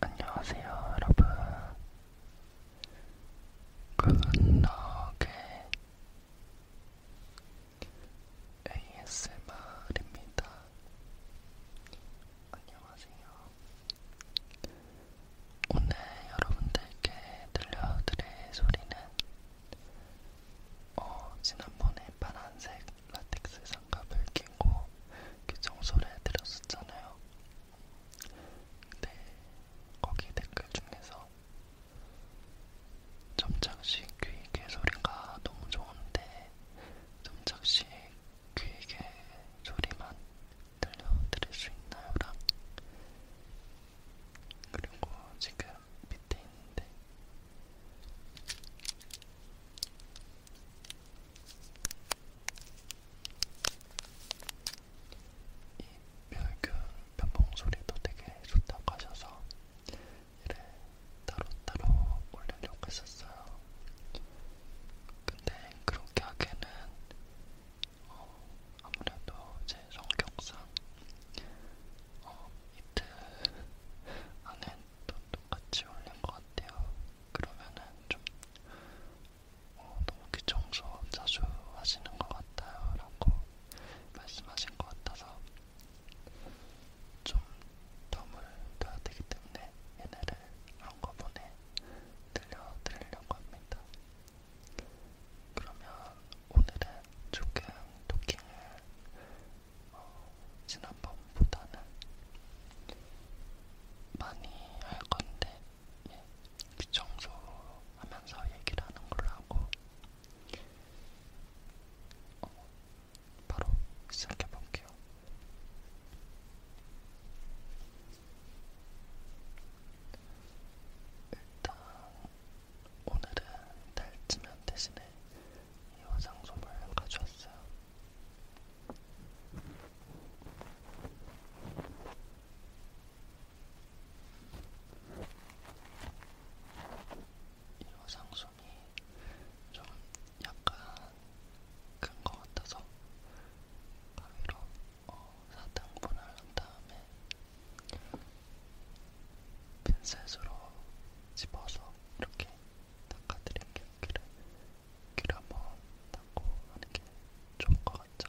안녕하세요, 여러분. 굿럭의 ASMR입니다. 안녕하세요. 오늘 여러분들께 들려드릴 소리는 어, 지난번에 파란색 라텍스 장갑을 끼고 그 청소를 해드렸었잖아요. 근데 거기 댓글 중에서 점착식 귀 개소리가 너무 좋은데 점착식 귀에게 소리만 들려드릴 수 있나요랑 그리고 지금 밑에 있는데 이 멸균 변봉 소리도 되게 좋다고 하셔서 얘를 따로따로 올리려고 했었어요. 근데 그렇게 하기에는 어, 아무래도 제 성격상 어, 이틀 안에 또 똑같이 올린 것 같아요. 그러면은 좀 어, 너무 귀청소 자주 하시는 것 같아요. 라고 말씀하신 것 같아서 좀 덤을 둬야 되기 때문에 얘네를 그런 거 보내 들려드리려고 합니다. 그러면 오늘은 조금 토킹을 어, 지난번보다는 많이 할 건데 예, 귀청소 하면서 얘기를 하는 걸로 하고 어, 바로 시작해볼게요. 일단 오늘은 달치면 대신에 이 화장솜을 가져왔어요. 이 화장솜이 좀 약간 큰 것 같아서 가위로 어, 4등분을 한 다음에 핀셋으로 집어서 이렇게 닦아드릴게요. 귀를, 귀를 한번 닦고 하는 게 좋을 것 같죠?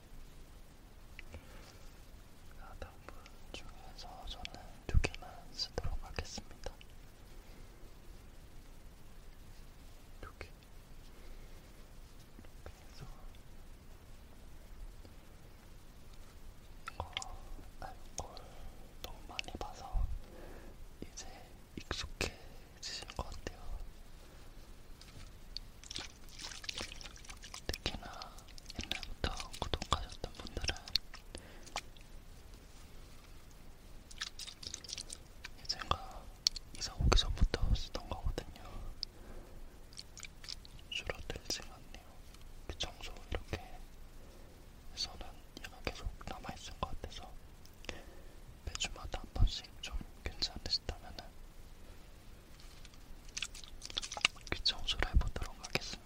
아담분 중에서 저는 두 개만 쓰도록 하겠습니다. 두 개. 그래서 어, 알콜 너무 많이 봐서 이제 익숙해지신 것 같아요. 특히나 옛날부터 구독하셨던 분들은 예전가 이사 오기 전부터 쓰던 거거든요. 줄어들지 않네요. 그 청소 이렇게 해서는 얘가 계속 남아있을 것 같아서 매주마다 한 번씩 좀 괜찮으시다면은 귀 청소를 해보도록 하겠습니다.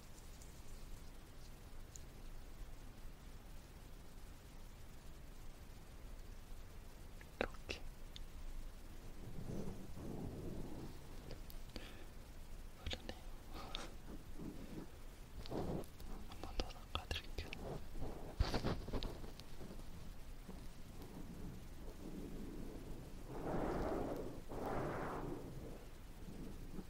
이렇게 흐르네요. 한번 더 닦아드릴게요.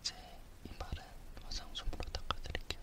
이제 이말은 화장솜으로 닦아드릴게요.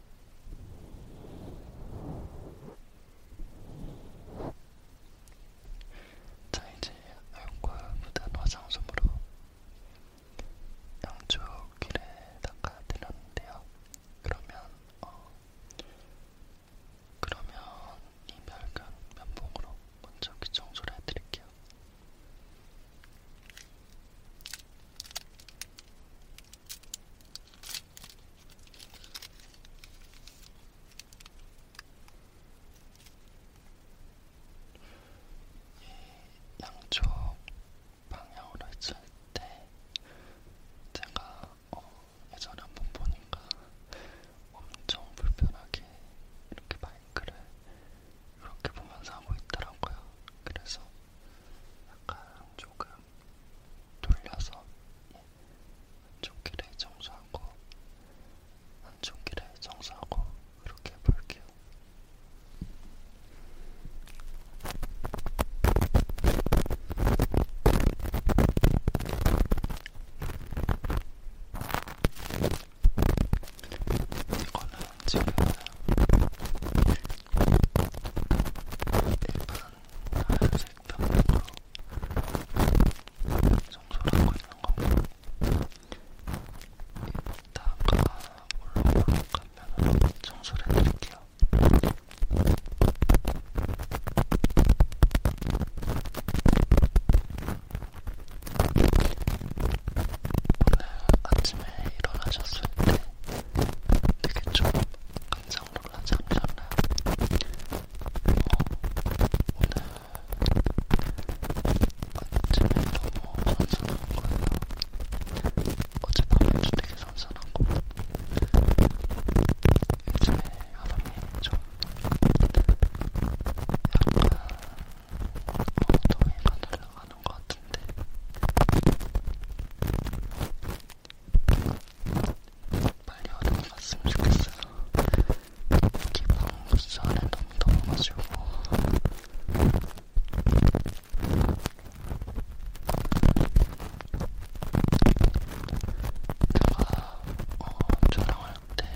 자 이제 알과 묻은 화장솜으로 양쪽 귀를 닦아드렸는데요. 그러면 어 그러면 이 멸근 면봉으로 먼저 귀 청소를 해드릴게요. 양쪽 방향으로 했을 때 제가 어, 예전에 한번 보니까 엄청 불편하게 이렇게 마이크를 이렇게 보면서 하고 있더라고요. 그래서 약간 조금 돌려서 예, 한쪽 길에 정수하고 한쪽 길에 정수하고 그렇게 해볼게요. 이거는 지금 일반 하얀색 병으로 청소를 하고 있는 거고 이따가 올라오락하면 청소를 해드릴게요. 오늘 아침에 아침에 일어나셨을 때 되게 좀 깜짝 놀라지 않으셨나요? 어, 오늘 아침에 너무 선선한 거예요. 어젯밤에도 되게 선선하고 요즘에 여름이 좀 약간 엉덩이가 날아가는 것 같은데 빨리 어디 갔으면 좋겠어요. 여기 방수 안에 너무 더워가지고. 제가 어, 촬영할 때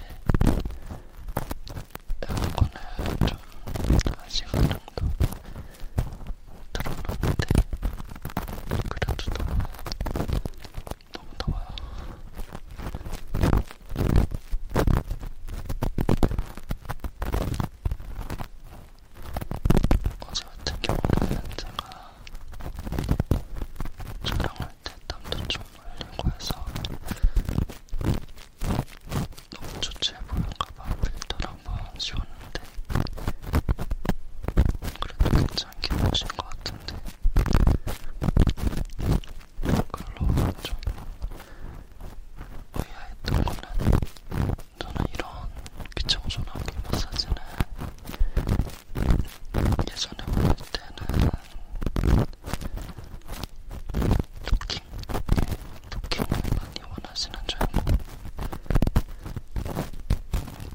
에어컨을 좀 1시간 아, 정도 들어봤는데 그래도 너무 너무 더워요. 어제 같은 경우는 제가 촬영할 때 땀도 좀 흘리고 해서 너무 좋지 보일까봐 필터를 한번 씌웠는데 그래도 괜찮게 보신 것 같은데 글로우가 좀 의아했던 거는 저는 이런 귀청소나기 마사지는 예전에 보낼 때는 토킹 이렇게 많이 원하시는 줄 알고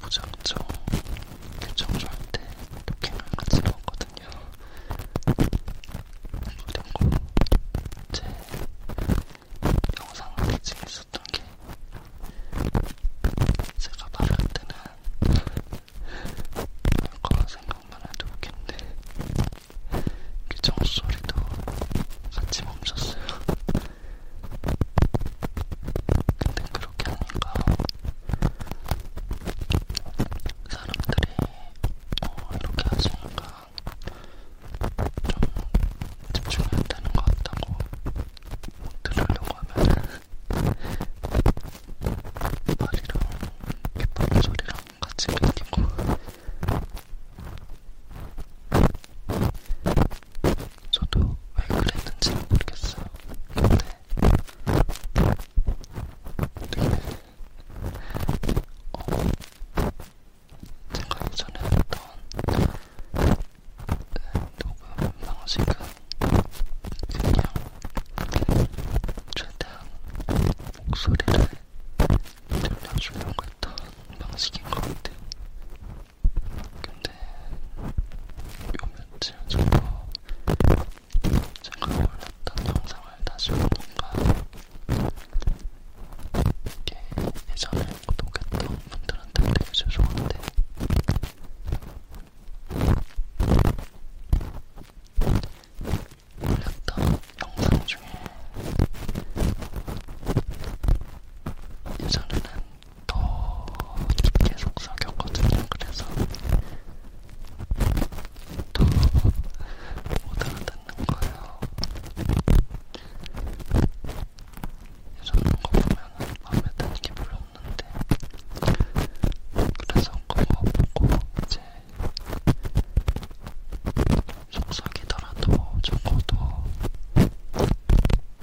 무작정 교정줄 할때 토킹을 같이 넣었거든요. 그리고 제 영상 대칭 있었던 게 제가 말할 때는 그런 생각만 해도 웃긴데 규정 소리도 같이 멈췄어요. 근데 그렇게 하니까 사람들이 어, 이렇게 하시니까 좀 집중해야 되는 것 같다고 들으려고 하면 말이랑 기쁜 소리랑 같이 끼고 저도 왜 그랬는지는 모르겠어요. 근데 되게 어, 제가 예전에 했던 네, 녹음 방식은 그냥 최대한 목소리를 들려주려고 했던 방식인 것 같아요. 근데 요 며칠 전에 제가 올렸던 영상을 다시 보니까 이게 예전에 구독했던 분들한테 되게 죄송한데 올렸던 영상 중에 예전에는 더 계속 사귀었거든요. 그래서 더 못 알아듣는 거예요. 예전에 거 보면은 마음에 드는 게 별로 없는데 그래서 그거 보고 이제 속삭이더라도 적어도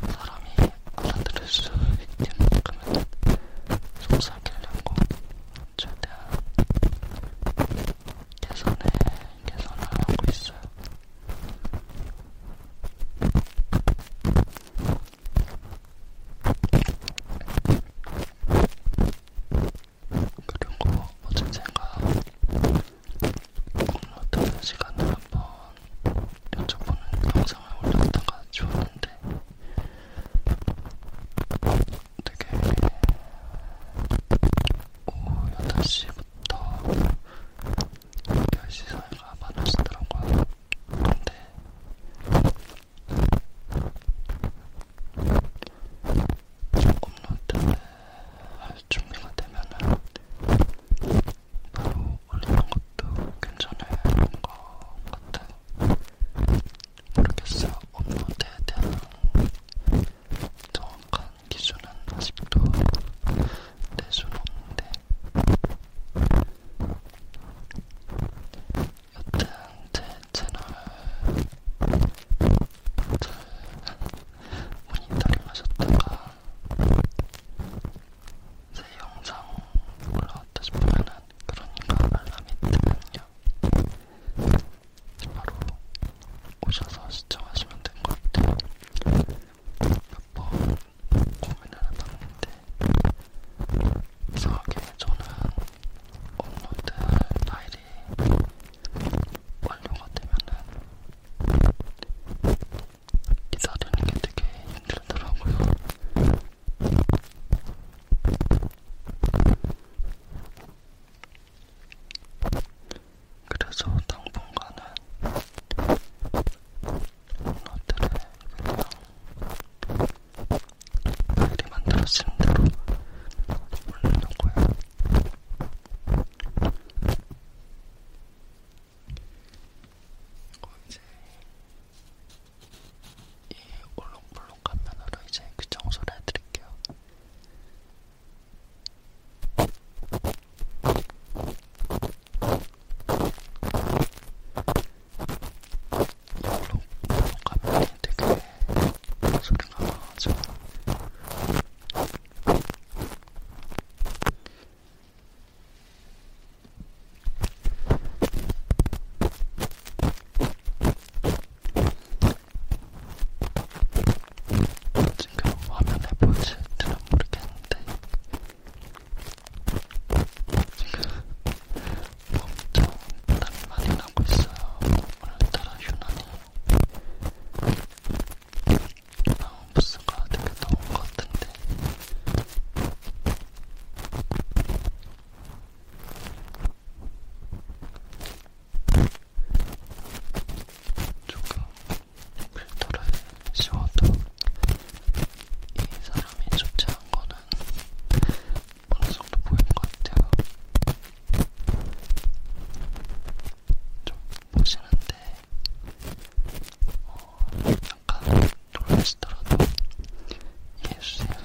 사람이 알아들을 수 있게끔 속삭이려고 최대한 개선에 개선을 하고 있어요. 그리고 어제 제가 어떤 시간을 한 번 여쭤보는 영상을 올렸다가 지웠는데 되게 오후 8시부터 10시 사이가 많으시더라고요. 근데 업로드를 종료가 되면은 바로 올리는 것도 괜찮은 것 같아. 모르겠어요. 업로드에 대한 정확한 기준은 아직도 내주는 없는데. 여튼 제 채널 잘 모니터링 하셨다가 새 영상 올라왔다 싶으면은 그러니까 알람이 뜨면요 바로 오셔서 시청하시면 될 것 같아요. 몇 번 고민을 해봤는데 이상하게 저는 업로드 파일이 완료가 되면은 기사 되는 게 되게 힘들더라고요. 그래서 당분간은 오늘들은 그냥 미리 만들어진 대로 올리려고요. 이거 이제 이 올록볼록 화면으로 이제 그 청소를 해드릴게요. 이걸로 가면 되게 소리가 나죠. 지금 화면에 보이실지는 모르겠는데 지금 엄청 땀이 많이 나고 있어요. 오늘따라 유난히 나무부스가 되게 더운 것 같은데 조금 필터를 씌워도 이 사람이 좋지 않은 거는 어느 정도 보이는 것 같아요. 좀 보시는데 어, 약간 놀라시더라도 이해해주세요.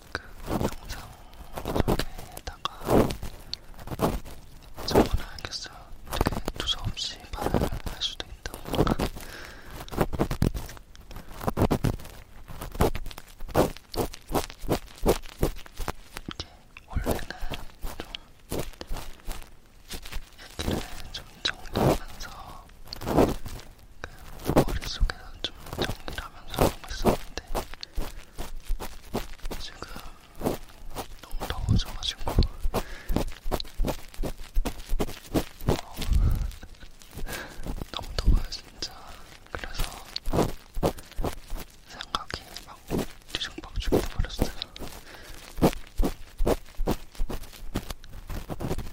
그 영상 소개에다가 적어놔야겠어요. 이렇게 두서없이 말을 할 수도 있다 보니까. 이게 원래는 좀 얘기를 좀 정리하면서 머릿속에는 좀 정리를 하면서 하고 있었는데 지금 너무 더워져가지고 어, 너무 더워요 진짜 그래서 생각이 막 뒤죽박 죽어버렸어요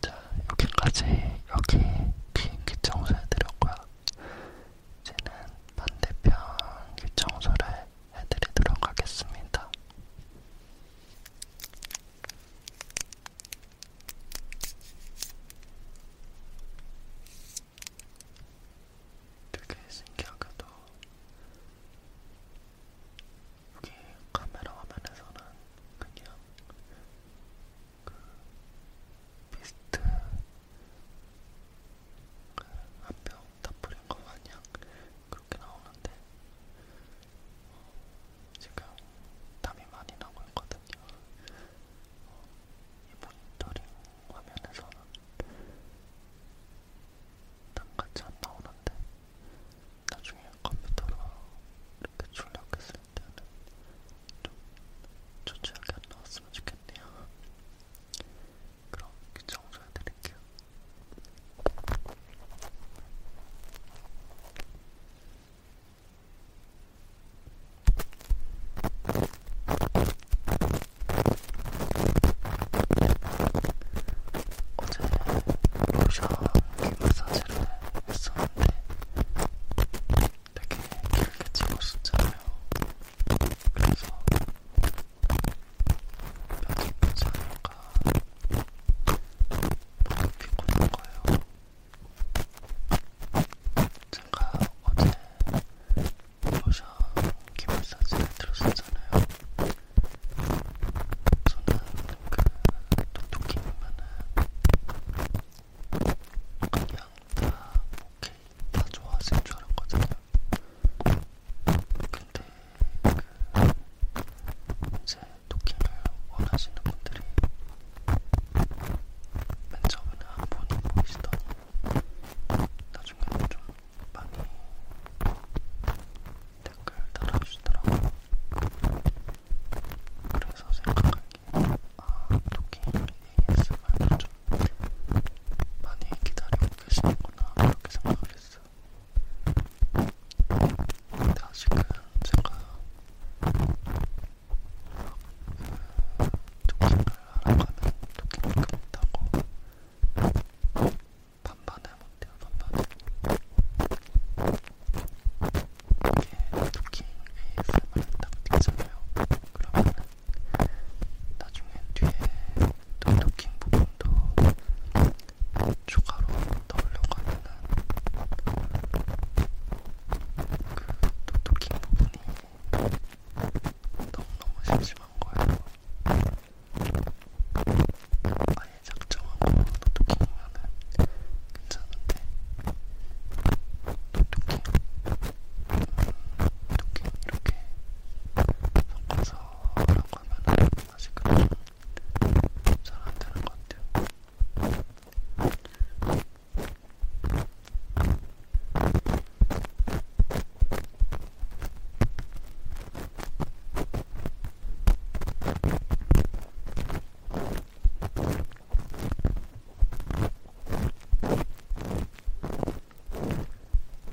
자, 여기까지 여기 비행기 청소해드렸고요. 이제는 반대편 귀 청소를 해드리도록 하겠습니다. 되게 신기하게도 여기 카메라 화면에서는 그냥 미스트 한병다 뿌린 거 마냥 그렇게 나오는데 어, 지금 땀이 많이 나고 있거든요. 어, 이 모니터링 화면에서는 땀같이 안 나오는데 나중에 컴퓨터로 이렇게 출력했을 때는 좀 초췌하게 안 나왔으면 좋겠네요. 그럼 정수해드릴게요. 어제 로션 귀 마사지를 했었는데 되게 길게 찍었었잖아요. 그래서 편집도 자료가 너무 피곤한 거예요. 제가 어제 로션 기마사지를 들었었잖아요. 저는 그 똑똑히 보면은 그냥 다 오케이 다 좋아하실 줄 알았거든요. 근데 그 이제 도끼를 원하시는 분들이 맨 처음에는 한 분이 보이시더니 나중에는 좀 많이 댓글 달아주시더라고요. 그래서 생각할 아, 토끼 ASMR을 좀 많이 기다리고 계시는구나 그렇게 생각을 했어요. 근데 아직은 제가 정신을 그 알아가는 토끼밖에 없다고 반반에 못해요, 반반에. 이게 토킹 ASMR 딱 되잖아요. 그러면 나중에 뒤에 또 토킹 부분도 추가로 넣으려고 하면은 그또 토킹 부분이 너무너무 심심한 거예요. 아예 작정하고 또 토킹만 보면은 괜찮은데 이렇게 이렇게 이렇게 섞어서라고 하면은 아직은 잘안 되는 것 같아요.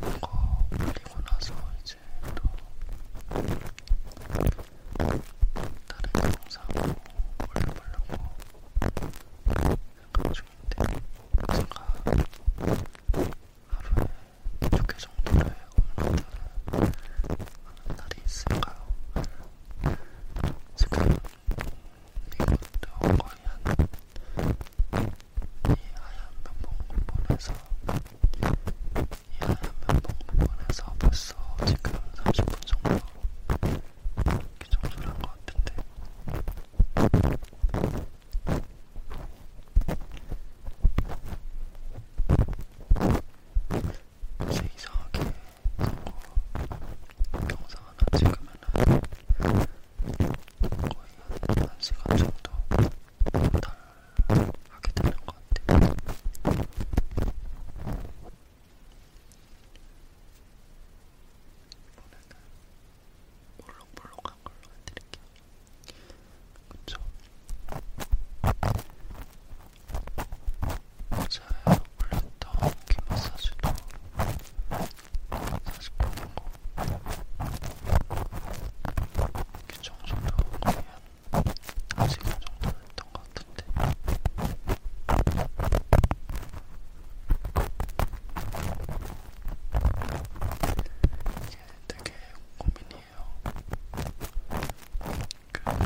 이거 올리고 나서 이제 또 다른 영상으로 올려보려고 생각 중인데 제가 하루에 두개 정도를 올리는 날이 있을까요? 지금 이것도 거의 한이 하얀 면봉분에서 이 하얀 면봉분에서 벌써 지금 30분 정도 이렇게 정수를 한것 같은데 이제 이상하게 영상 하나 찍으면은 거의 한 1시간 정도 달하게 되는 것 같아요. 이번에는 볼록볼록한 걸로 해드릴게요. 그쵸? 어제 올렸던 귀 마사지도 사실 보는 거, 귀 청소도 거의 한 1시간 정도 했던 것 같은데. 이게 되게 고민이에요. 그한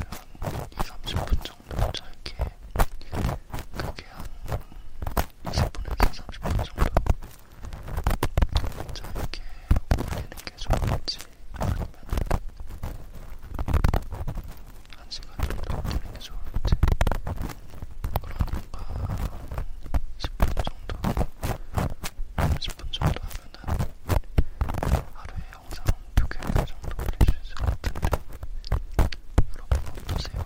2-30분 정도 짧게 그게 한 20분에서 30분 정도 짧게 올리는 게 좋을지 아니면 한 시간 정도 올리는 게 좋을지 그러니까 10분 정도 10분 정도 하면은 하루에 영상 두개정 정도 올릴 수 있을 것 같은데 여러분 어떠세요?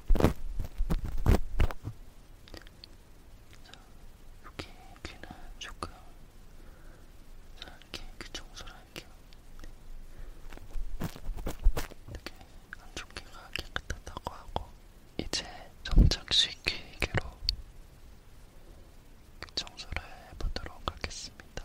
자, 여기 귀는 조금 자, 이렇게 귀 청소를 할게요. 이렇게 안쪽 귀가 깨끗하다고 하고 이제 점착식 귀개로 귀 청소를 해보도록 하겠습니다.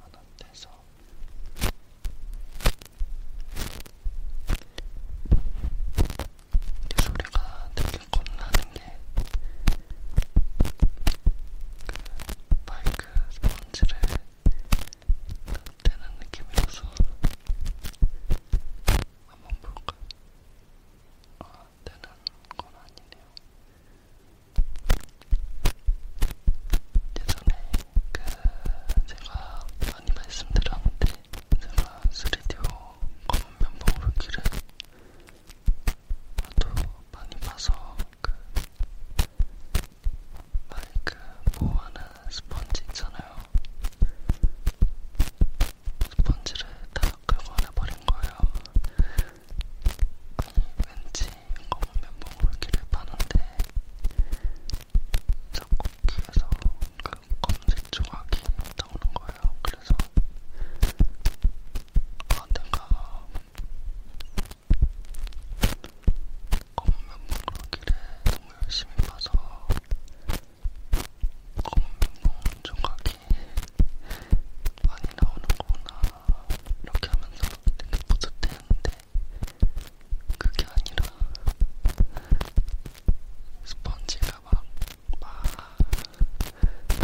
안한테서 이 소리가 되게 겁나는 게그 마이크 스펀지를 떼는 느낌이라서 한번 볼까? 아, 떼는 건 아니네요. 예전에 그 제가 많이 말씀드렸는데 제가 3디오 검은 면봉 르기를 또 많이 봐서 그 마이크 보호하는 스펀지 있잖아요. 스펀지를 다 끌고 내버린 거예요. 아니, 왠지 검은 면봉으로 길을 파는데 자꾸 귀에서 그 검은색 조각이 나오는 거예요. 그래서 아 내가 검은 면봉으로 길에 너무 열심히 파서 검은 면봉 조각이 많이 나오는 거구나 이렇게 하면서 되게 뿌듯했는데 그게 아니라 스펀지가 막, 막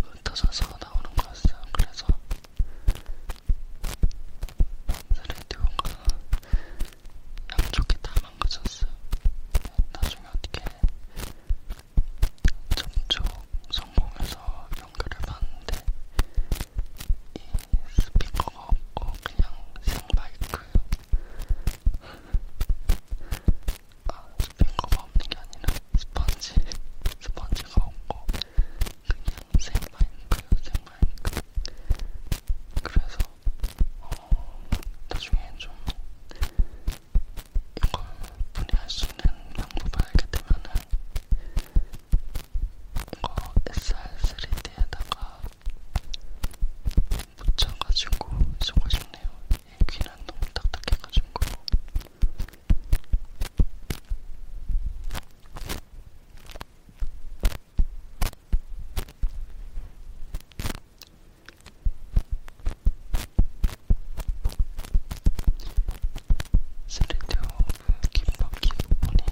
흩어져서 나오는 거였어요. 그래서 라디오가 양쪽이 다 망가졌어요. 나중에 어떻게 점쪽 성공해서 연결을 봤는데 이 스피커가 없고 그냥 생마이크예요. 아, 스피커가 없는 게 아니라 스펀지, 스펀지가 없고 그냥 생마이크예요, 생마이크. 그래서 어, 나중에 좀 이걸 분해할 수 있는 방법을 알게 되면은 뭔가 SR3D에다가 묻혀가지고 쓰고 싶네요. 이 귀는 너무 딱딱해가지고. 스리디오브 김밥기 부분이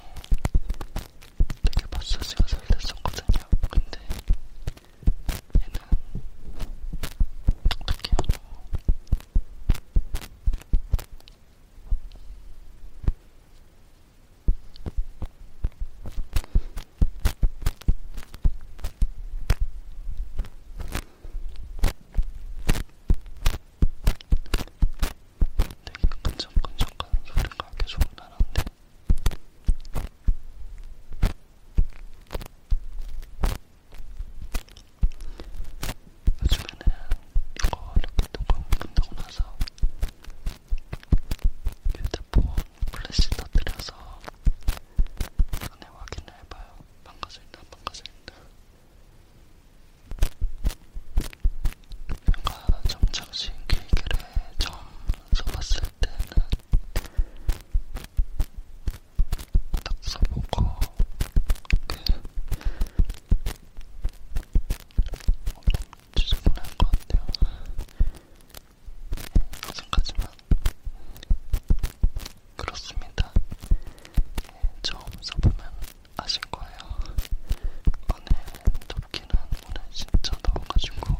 되게 마사지가 잘 됐었거든요. 근데 얘는 어떻게 하고 되게 끈적끈적한 소리가 계속 나는데 요즘에는 이거 이렇게 녹음 끝나고 나서 휴대폰 플래시 터뜨려서 안에 확인을 해봐요. 망가져있나 망가져있나 제가 정착신 케이크를 처음 써봤을 때는 딱 써보고 그 엄청 지저분한 것 같아요. 여전까지만 예, 그렇습니다. 예, 처음 써보면 아실 거예요. 오늘 덥기는 오늘 진짜 더워가지고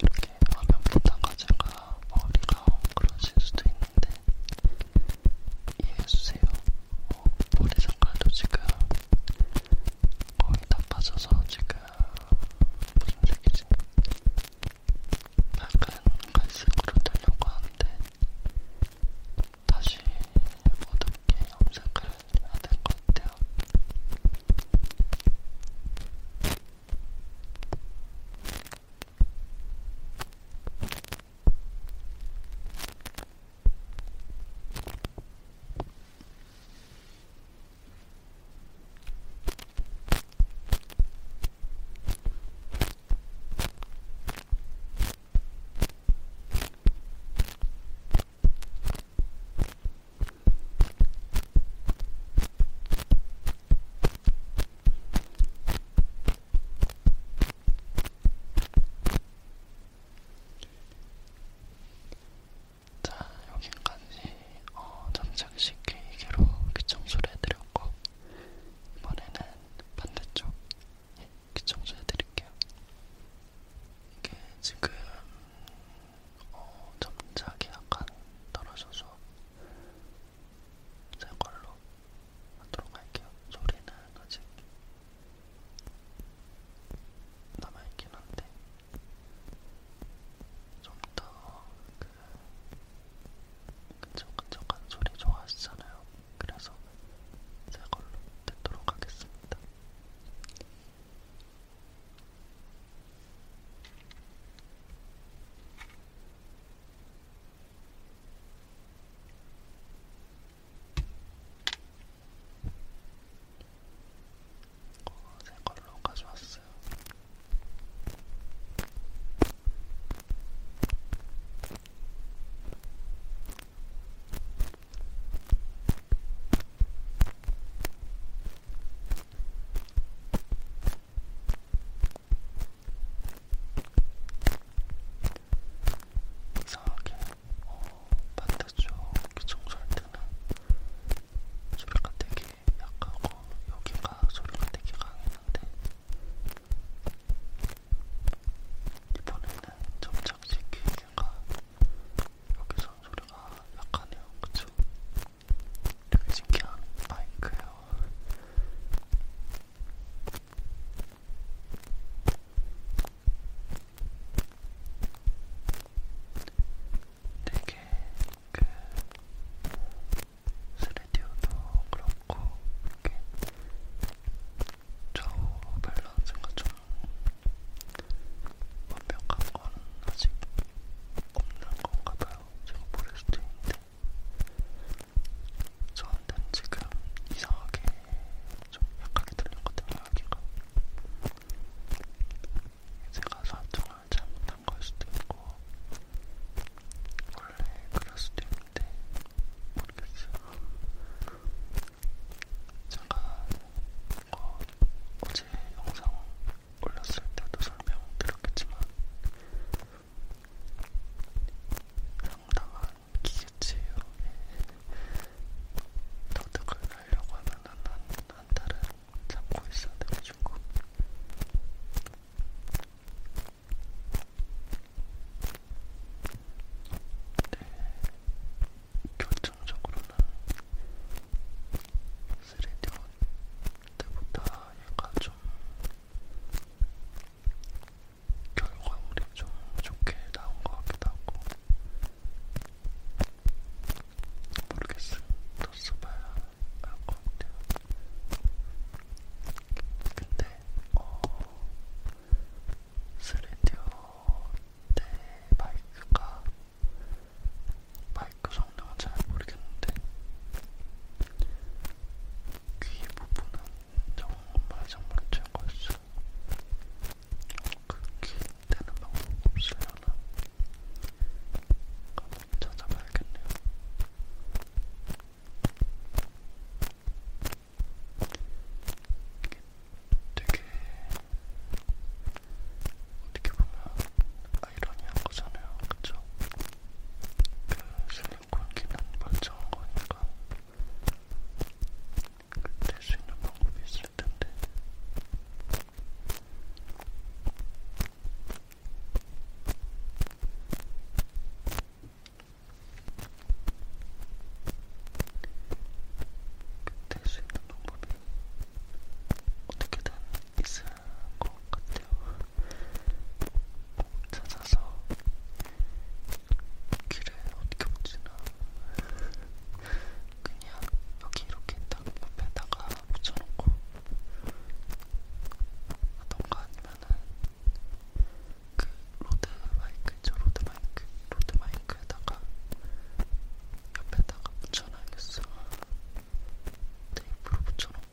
이렇게 화면 보다가 제가 머리가 엉그러질 수도 있는데 이해해주세요. 어, 머리 색깔도 지금 거의 다 빠져서 지금 무슨 색이지? 밝은 갈색으로 되려고 하는데 다시 모든 게 염색을 해야 될것 같아요. 자, 여기까지 어, 점착식 귀기로 귀청소를 그 해드렸고, 이번에는 반대쪽 이렇게 청소해드릴게요. 이게 지금 어, 점착이 약간 떨어져서 제 걸로 하도록 할게요. 소리는 아직 남아있긴 한데 좀 더그 끈적끈적한 그 그 소리 좋아하시잖아요. 그래서 새 걸로 뜯도록 하겠습니다. 어, 새 걸로 가져왔어요. 이상하게 어, 반대쪽 청소할 때는 소리가 되게 약하고 여기가 소리가 되게 강했는데 이번에는 점차 솔직히 제가 여기서 소리가 약하네요. 그쵸? 되게 신기한 마이크예요. 되게 그 스튜디오도 그렇고 이렇게 좌우 밸런스가 좀 완벽한 건 아직 없는 건가 봐요. 제가 모를 수도 있는데 저한테는 지금 이상하게 좀 약하게 들리거든요, 여기가. 제가 설정을 잘못한 걸 수도 있고 원래 그럴 수도 있고 건데 네, 모르겠어요. 잠깐 어, 어제 영상 올렸을 때도 설명드렸겠지만 상당한 기계치예요. 터득을 하려고 하면은 한, 한 달은 잡고 있어야 돼가지고 네, 결정적으로는 3D 때보다 얘가 좀 결과물이 좀 좋게 나온 것 같기도 하고 모르겠어 더 써봐야 알것 같아요 근데 어 스레디오 때 마이크가 마이크 성능은 잘 모르겠는데 귀 부분은 정말 정말 최고였어요. 그귀 떼는 방법 없으려나? 한번 찾아봐야겠네요. 되게 어떻게 보면 아이러니한 거잖아요, 그쵸? 그 실리콘 기능 멀쩡한 거니까 될수 있는 방법이 있을 텐데. 될수 있는 방법이 어떻게든 있을 것 같아요. 뭐 찾아서 길에 어떻게 붙이나 그냥 여기 이렇게 딱 옆에다가 붙여놓고 하던가 아니면은 그 로드 마이크 있죠? 로드 마이크, 로드 마이크에다가 옆에다가 붙여놔야겠어. 테이프로 붙여놓고.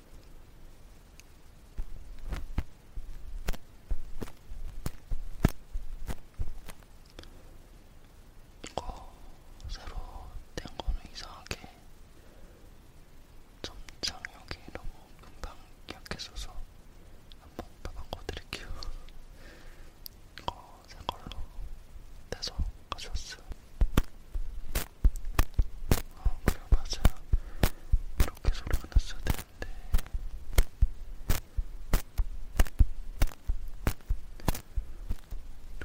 이거 새로 된 거는 이상하게 좀 장력이 너무 금방 약해져서 한번 바꿔드릴게요. 이거 새 걸로 떼서 가져왔어요. 아 그래 맞아요 이렇게 소리가 났어야 되는데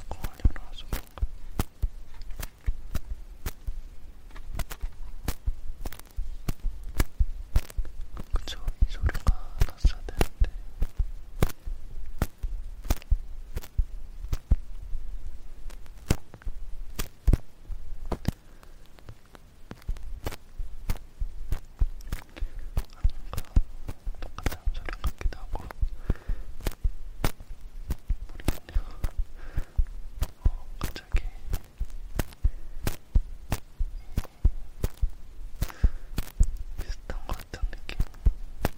이거 하려나 와서 그런가 그쵸 이 소리가 났어야 되는데 똑같은 소리 같기도 하고 모르겠네요. 어, 갑자기 비슷한 것 같은 느낌.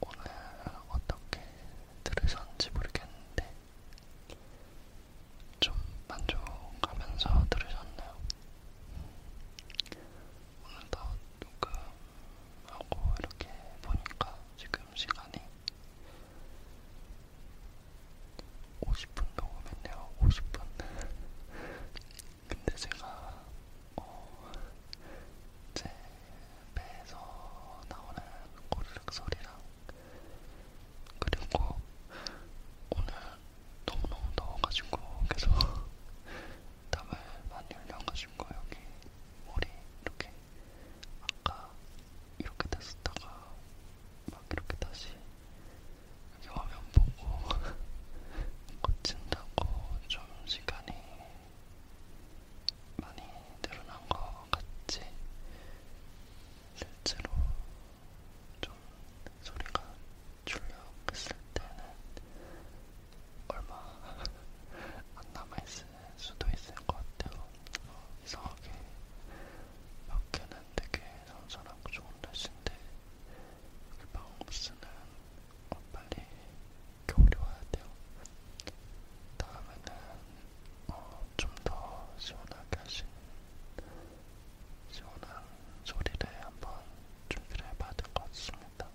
오늘 어떻게 들으셨는지 모르겠는데 좀 만족하면서 들으셨나요? 오늘도 녹음하고 이렇게 보니까 지금 시간이 50분 녹음했네요. 50분. 근데 제가 어, 제 배에서 나오는 고르륵 소리랑 그리고 오늘 너무너무 더워가지고 계속 땀을 많이 흘려가지고 여기 머리 이렇게 아까 이렇게 됐었다가 막 이렇게 다시 여기 화면 보고 고친다고 좀 시간이 많이 늘어난 것 같지? 실제로 좀 소리가 출력했을 때는 얼마 안 남아있을 수도 있을 것 같아요. 어, 이상하게 밖에는 되게 선선하고 좋은 날씨인데 그 방음쓰는 어, 빨리 겨울이 와야 돼요. 다음에는 어, 좀더 시원하게 하시는 시원한 소리를 한번 준비를 해봐야 될 것 같습니다.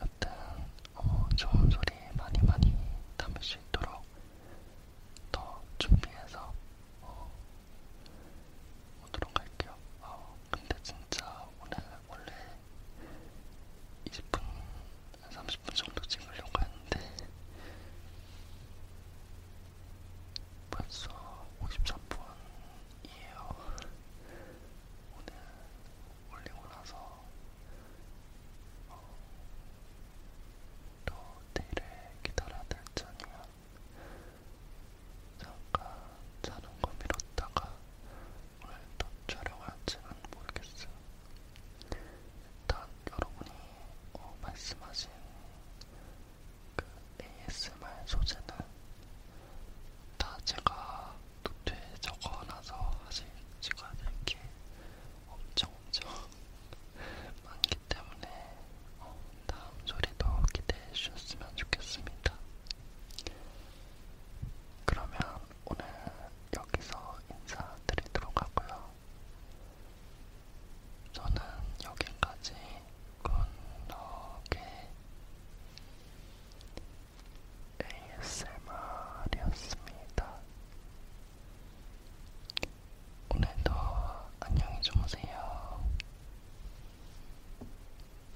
여튼 어, 좋은 소리 많이 많이 담을 수 있도록 더 준비해서 어, 오도록 할게요. 어, 근데 진짜 오늘 원래 20분, 30분 정도 찍으려고 했는데 벌써 54분이에요. 오늘 올리고 나서 어, 또 내일을 기다려야 될지 아니면 잠깐 자는 거 미뤘다가 오늘도 촬영할지는 모르겠어요. 일단 여러분이 어, 말씀하신 그 ASMR 소재는 다 제가 노트에 적어놔서 아직 찍어야될게 엄청 엄청 많기 때문에 어, 다음 소리도 기대해 주셨으면 좋겠습니다. 그러면 오늘 여기서 인사드리도록 하고요. 저는 여기까지 건너게 ASMR이었습니다. 오늘도 안녕히 주무세요.